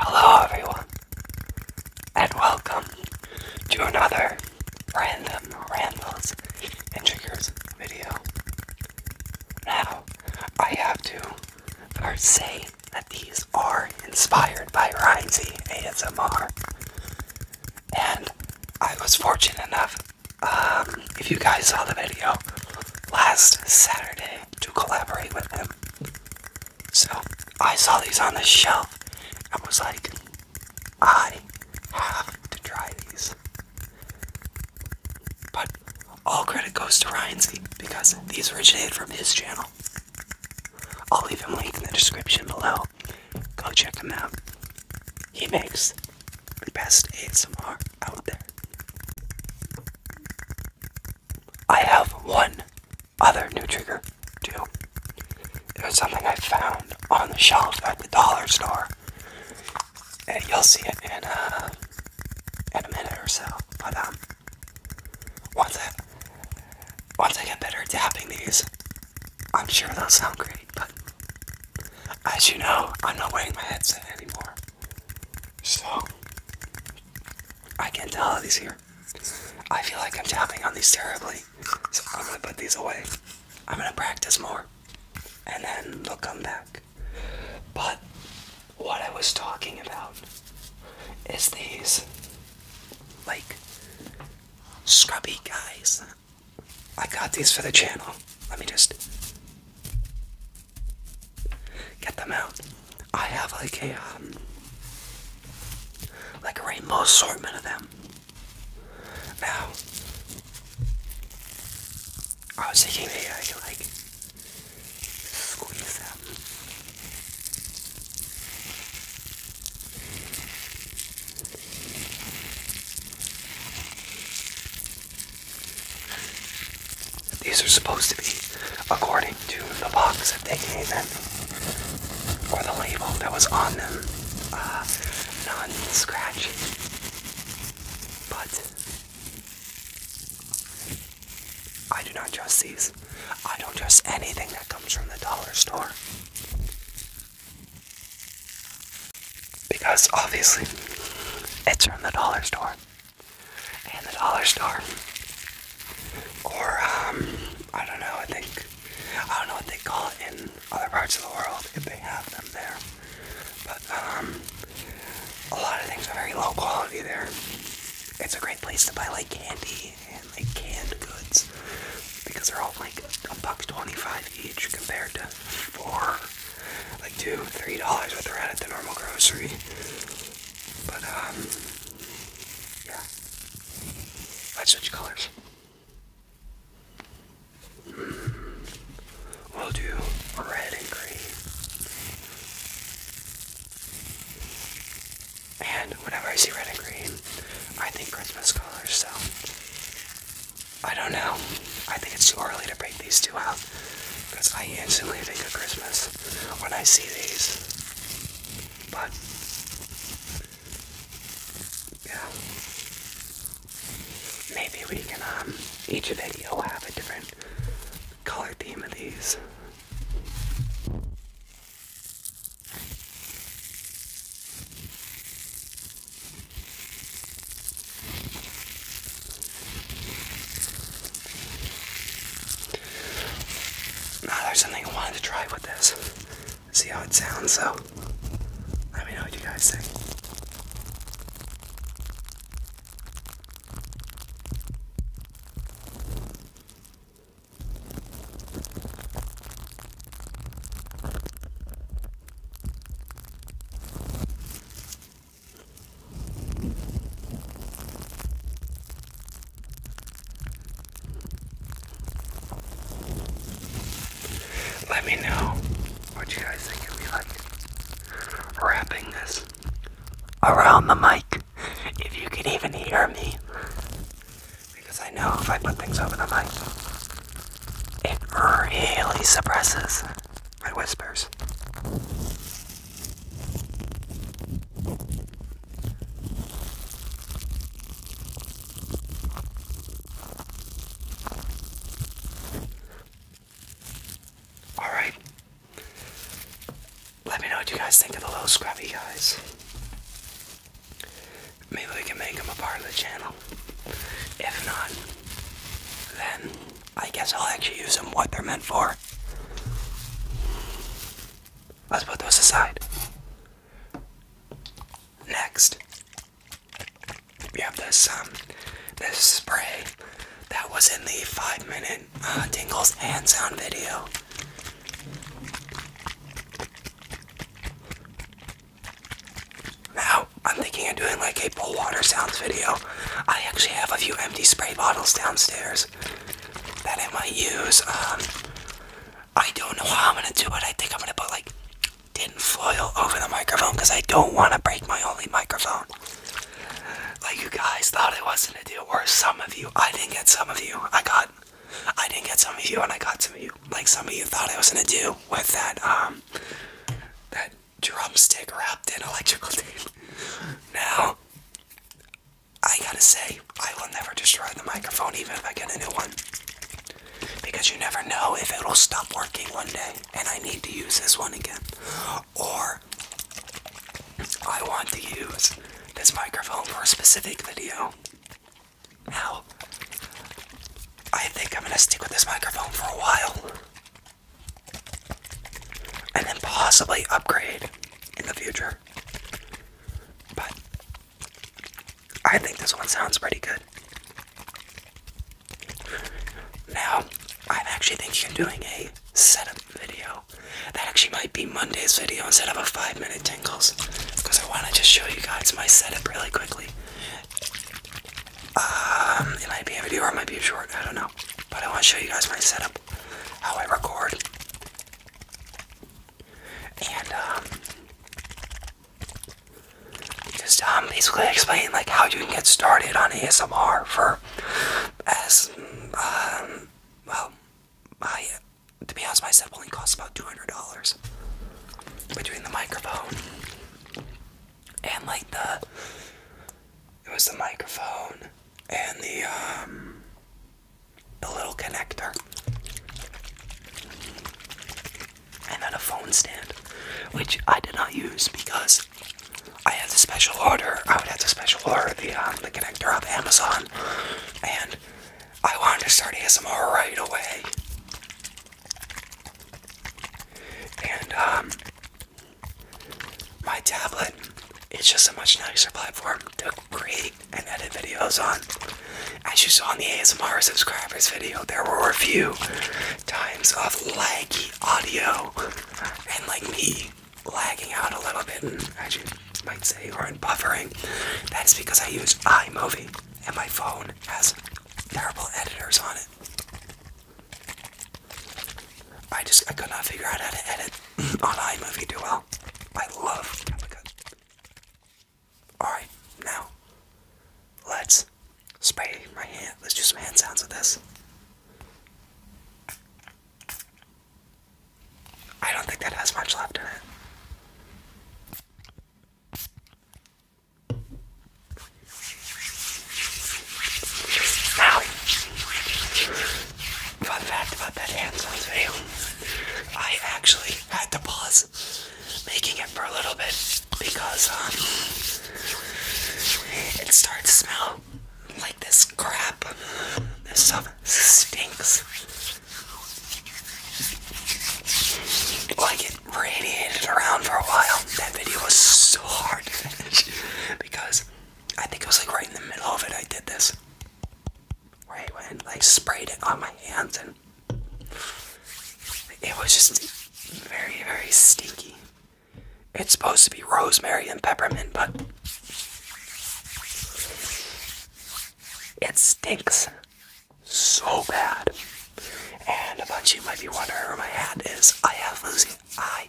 Hello, everyone, and welcome to another Random Randalls and video. Now, I have to first say that these are inspired by Rhinesy ASMR, and I was fortunate enough, um, if you guys saw the video last Saturday, to collaborate with them. So I saw these on the shelf and was like, I have to try these. But all credit goes to Ryan's because these originated from his channel. I'll leave him a link in the description below. Go check him out. He makes the best ASMR out there. I have one other new trigger, too. It was something I found on the shelf at the dollar store. And you'll see it in, uh, in a minute or so. But, um, once I, once I get better at adapting these, I'm sure they'll sound great. But, as you know, I'm not wearing my headset anymore. So, I can not tell these here. I feel like I'm tapping on these terribly. So, I'm gonna put these away. I'm gonna practice more. And then they'll come back. But, what I was talking about is these, like, scrubby guys. I got these for the channel. Let me just Get them out. I have like a um, like a rainbow assortment of them. Now, I was thinking maybe I could like squeeze them. These are supposed to be according to the box that they came in, or the label that was on them, uh, non scratch. But I do not trust these. I don't trust anything that comes from the dollar store. Because obviously, it's from the dollar store and the dollar store. Or, um, I don't know, I think, I don't know what they call it in other parts of the world if they have them there. But, um, a lot of things are very low quality there. It's a great place to buy, like, candy and, like, canned goods because they're all, like, a buck twenty-five each compared to four like two, three dollars worth of red at the normal grocery. But um, yeah, I'd switch colors. Mm-hmm. We'll do red and green. And whenever I see red and green, I think Christmas colors. So I don't know. I think it's too early to break these two out because I instantly think of Christmas when I see these. But yeah, maybe we can um each video have a different color theme of these. Now there's something I wanted to try with this. See how it sounds, so let me know what you guys think. Let me know what you guys think if you like wrapping this around the mic. If you can even hear me. Because I know if I put things over the mic, it really suppresses it whispers. Alright. Let me know what you guys think of the little scrubby guys. Maybe we can make them a part of the channel. If not, then I guess I'll actually use them what they're meant for. Let's put those aside. Next, we have this um this spray that was in the five minute uh, tingles and sound video. Now I'm thinking of doing like a pool water sounds video. I actually have a few empty spray bottles downstairs that I might use. Um, I don't know how I'm gonna do it. I think I'm gonna put like tin foil over the microphone because I don't want to break my only microphone. Like you guys thought I was gonna do, or some of you. I didn't get some of you. I got, I didn't get some of you, and I got some of you. Like some of you thought I was gonna do with that um, that drumstick wrapped in electrical tape. Now, I gotta say, I will never destroy the microphone even if I get a new one. Because you never know if it'll stop working one day and I need to use this one again. Or I want to use this microphone for a specific video. Now, I think I'm gonna stick with this microphone for a while and then possibly upgrade in the future. But I think this one sounds pretty good. Now, i actually think thinking of doing a setup video. That actually might be Monday's video instead of a five minute tingles. Because I want to just show you guys my setup really quickly. Um, it might be a video or it might be a short, I don't know. But I want to show you guys my setup, how I record. And, um, just um, basically explain like how you can get started on ASMR for as um well I to be honest my setup only costs about two hundred dollars between the microphone and like the it was the microphone and the um the little connector and then a phone stand which I did not use because I had to special order I would have to special order the um the connector off Amazon and I wanted to start ASMR right away and um, my tablet its just a much nicer platform to create and edit videos on. As you saw in the ASMR subscribers video, there were a few times of laggy audio and like me lagging out a little bit, and as you might say, or in buffering. That's because I use iMovie and my phone has terrible editors on it. I just I could not figure out how to edit on iMovie Do well. I love Capricuts. Alright, now let's spray my hand. Let's do some hand sounds with this. I don't think that has much left in it. Now, fun fact about that hand sounds I actually had to pause making it for a little bit because um, it started to smell like this crap. This stuff stinks. Like it radiated around for a while. That video was so hard to finish because I think it was like right in the middle of it I did this. Where I went like sprayed it on my hands and it was just very, very stinky. It's supposed to be rosemary and peppermint, but it stinks so bad. And a bunch of you might be wondering where my hat is. I have losing. I.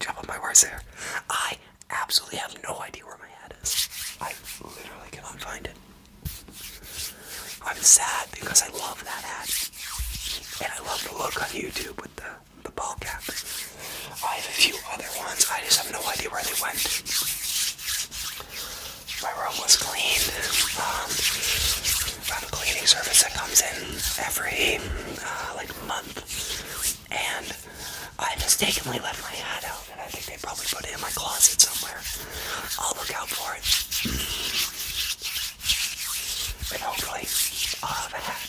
Jump on my words there. I absolutely have no idea where my hat is. I literally cannot find it. I'm sad because I love that hat. And I love the look on YouTube with the, the ball cap. I have a few other ones. I just have no idea where they went my room was cleaned. Um, I have a cleaning service that comes in every uh, like month, and I mistakenly left my hat out, and I think they probably put it in my closet somewhere. I'll look out for it, and hopefully, i have a hat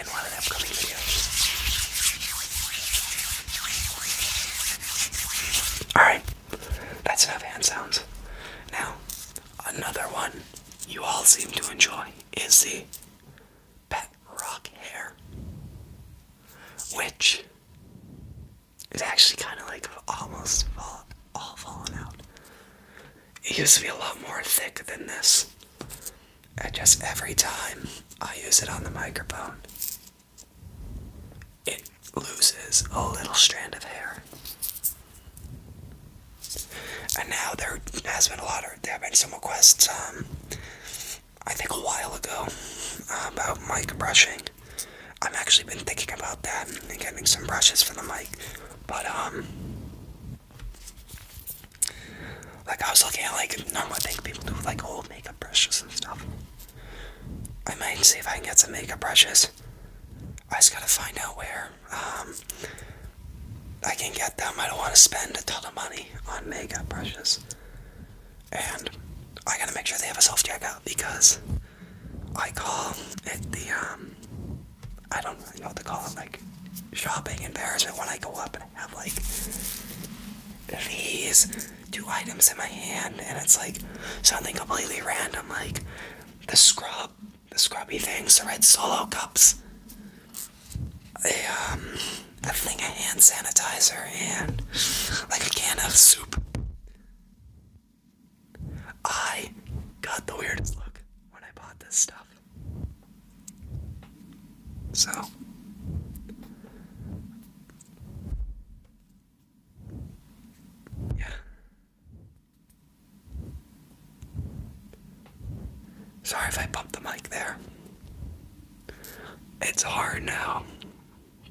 in one of the upcoming videos. All right. That's enough hand sounds. Now, another one you all seem to enjoy is the pet rock hair, which is actually kind of like almost fall, all fallen out. It used to be a lot more thick than this. And just every time I use it on the microphone, it loses a little strand of hair. And now there has been a lot of there have been some requests. Um, I think a while ago uh, about mic brushing. I've actually been thinking about that and getting some brushes for the mic, but um, like I was looking at like normally I think people do like old makeup brushes and stuff. I might see if I can get some makeup brushes. I just gotta find out where um, I can get them. I don't want to spend a ton of money on makeup brushes. And I gotta make sure they have a soft self out because I call it the, um, I don't really know what to call it, like shopping embarrassment when I go up and have like these two items in my hand, and it's like something completely random, like the scrub, the scrubby things, the red solo cups, a, um, thing, a hand sanitizer, and like a can of soup. I got the weirdest look when I bought this stuff. So, yeah. Sorry if I bumped the mic there. It's hard now.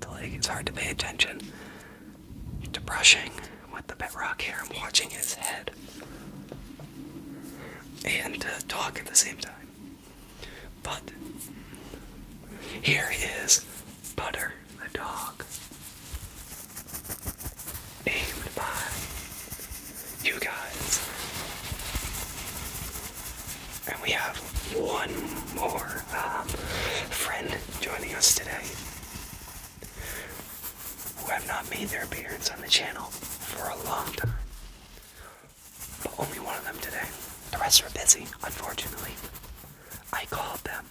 To like, it's hard to pay attention to brushing with the bedrock here. I'm watching his head and to talk at the same time. But here is Butter the dog, named by you guys. And we have one more um, friend joining us today who have not made their appearance on the channel for a long time but only one of them today. The rest are busy, unfortunately. I called them.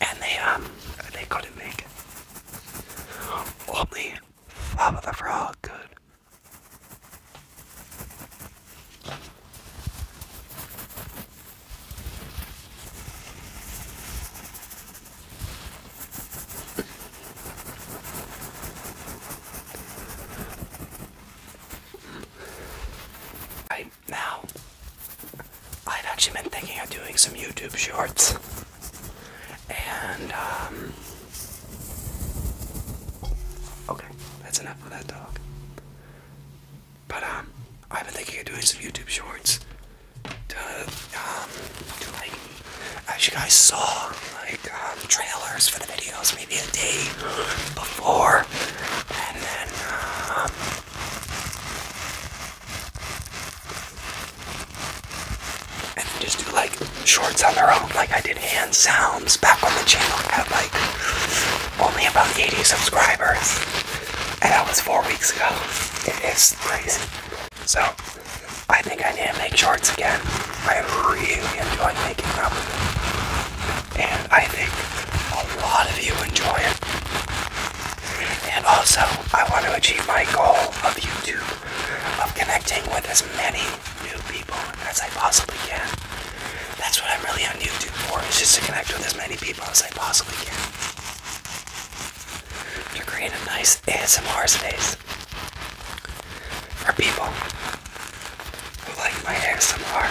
And they, um, they couldn't make it. Only Flava the Frog could now, I've actually been thinking of doing some YouTube shorts, and um, okay, that's enough of that dog. But um, I've been thinking of doing some YouTube shorts to um, to like as you guys saw, like um, trailers for the videos maybe a day before, and then um, and then just do like shorts on their own. Like I did hand sounds back on the channel. I had like only about 80 subscribers, and that was four weeks ago. It is crazy. So I think I need to make shorts again. I really enjoy making them. And I think a lot of you enjoy it. And also, I want to achieve my goal of YouTube of connecting with as many new people as I possibly can. That's what I'm really on YouTube for, is just to connect with as many people as I possibly can. To create a nice ASMR space for people who like my ASMR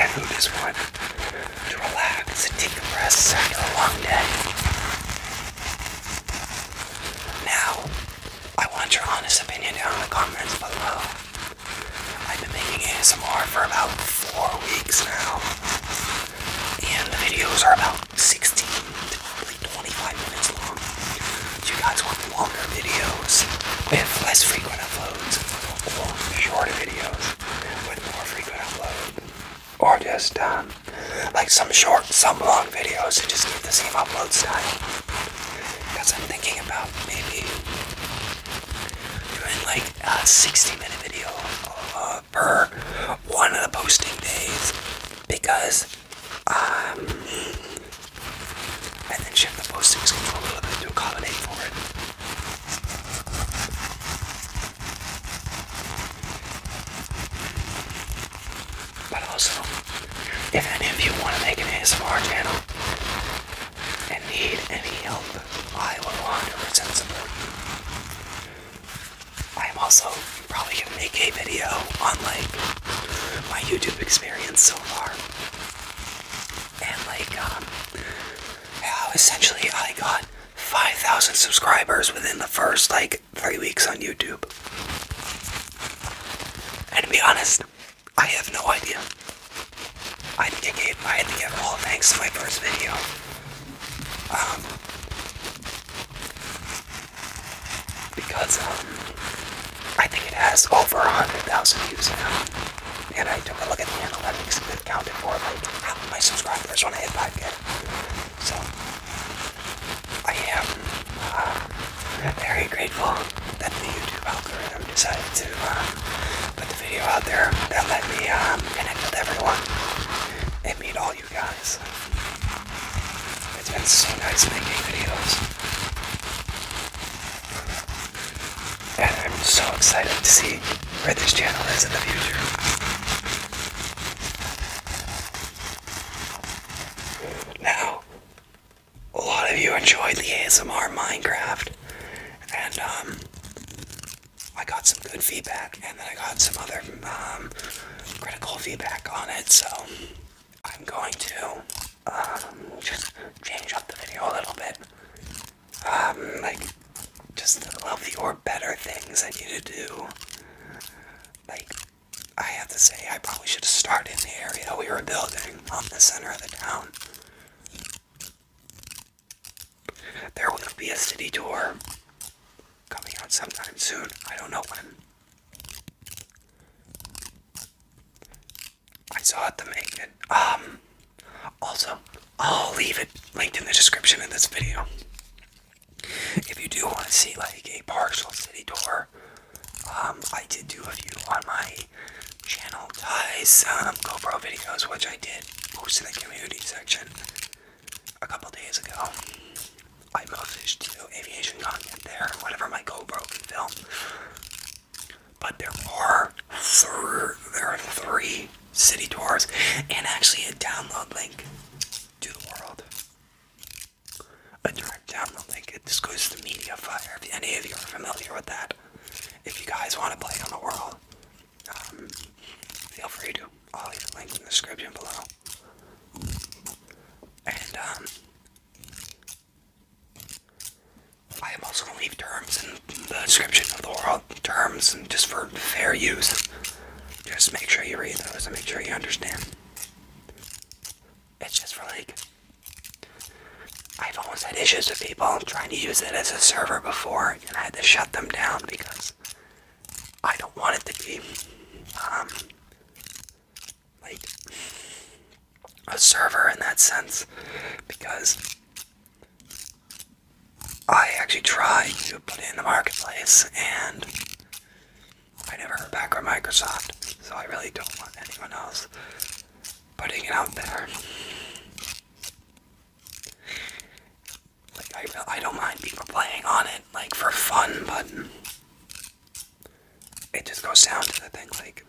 and who just want to relax and decompress after a long day. Now, I want your honest opinion down in the comments below. I've been making ASMR for about four weeks now, and the videos are about 16 to 25 minutes long. you guys want longer videos with less frequent uploads, or shorter videos with more frequent uploads, or just um, like some short, some long videos that just keep the same upload style. Because I'm thinking about maybe doing like a 60 minute video uh, per one of the posting days because um, and then shift the postings control a little bit to accommodate for it. But also, if any of you want to make an ASMR channel and need any help, I will 100% support you. I'm also probably gonna make a video on like my YouTube experience so far, and like um, how essentially I got 5,000 subscribers within the first like three weeks on YouTube. And to be honest, I have no idea. I think I gave I had to give thanks to my first video. Um, because um, I think it has over 100,000 views now. And I took a look at the analytics and it counted for like half of my subscribers when I hit 5k. So I am uh, very grateful that the YouTube algorithm decided to uh, put the video out there that let me um, connect with everyone and meet all you guys. It's been so nice making videos. And I'm so excited to see where this channel is in the future. Now, a lot of you enjoyed the ASMR Minecraft, and um, I got some good feedback and then I got some other um, critical feedback on it. So I'm going to um, just change up the video a little bit. Um, like just love your better things I need to do. Like I have to say, I probably should start in the area we were building, on the center of the town. There will be a city tour coming out sometime soon. I don't know when. I saw it to make it. Um, also, I'll leave it linked in the description of this video. If you do want to see like a partial city tour, um, I did do a few on my channel ties some um, GoPro videos, which I did post in the community section a couple days ago. I messaged to aviation content there, whatever my GoPro can film. But there are th there are three city tours and actually a download link to the world. A direct download link. It just goes to Media Fire. If any of you are familiar with that, if you guys want to play on the world, um, feel free to. I'll leave a link in the description below. And, um, I am also going to leave terms in the description of the world terms and just for fair use. Just make sure you read those and make sure you understand. It's just for like, I've always had issues with people trying to use it as a server before and I had to shut them down because I don't want it to be um, like a server in that sense because I actually tried to put it in the marketplace and I never heard back from Microsoft, so I really don't want anyone else putting it out there. Like I, I don't mind people playing on it, like for fun, but it just goes down to the thing. Like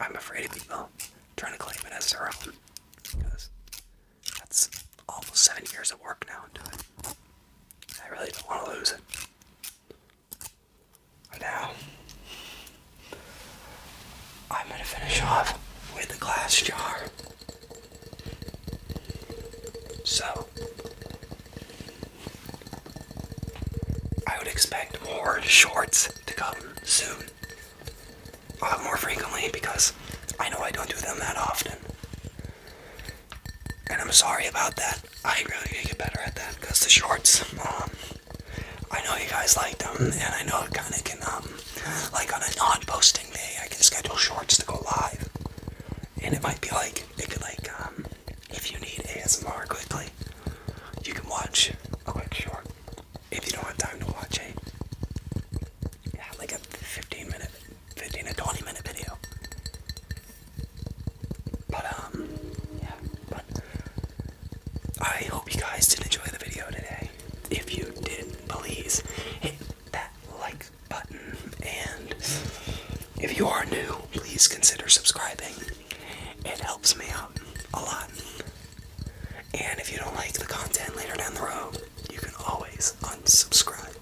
I'm afraid of people trying to claim it as their own, because that's almost seven years of work now into it. I really don't want to lose it. now I'm gonna finish off with the glass jar. So, I would expect more shorts to come soon. more frequently because I know I don't do them that often. And I'm sorry about that. I really need to get better at that because the shorts, um, I know you guys like them, and I know it kind of can, um, like on a non posting during I can schedule shorts to go live. And it might be like, it could like, um, if you need ASMR quickly, you can watch a quick short. If you don't have time to watch a, yeah, like a 15 minute, 15 to 20 minute video. But, um, yeah, but I hope you guys did enjoy the video today. If you did, please hit that like button. And if you are new, please consider subscribing. It helps me out a lot. And if you don't like the content later down the road, you can always unsubscribe.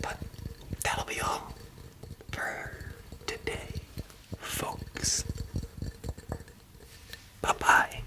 But that'll be all for today, folks. Bye bye.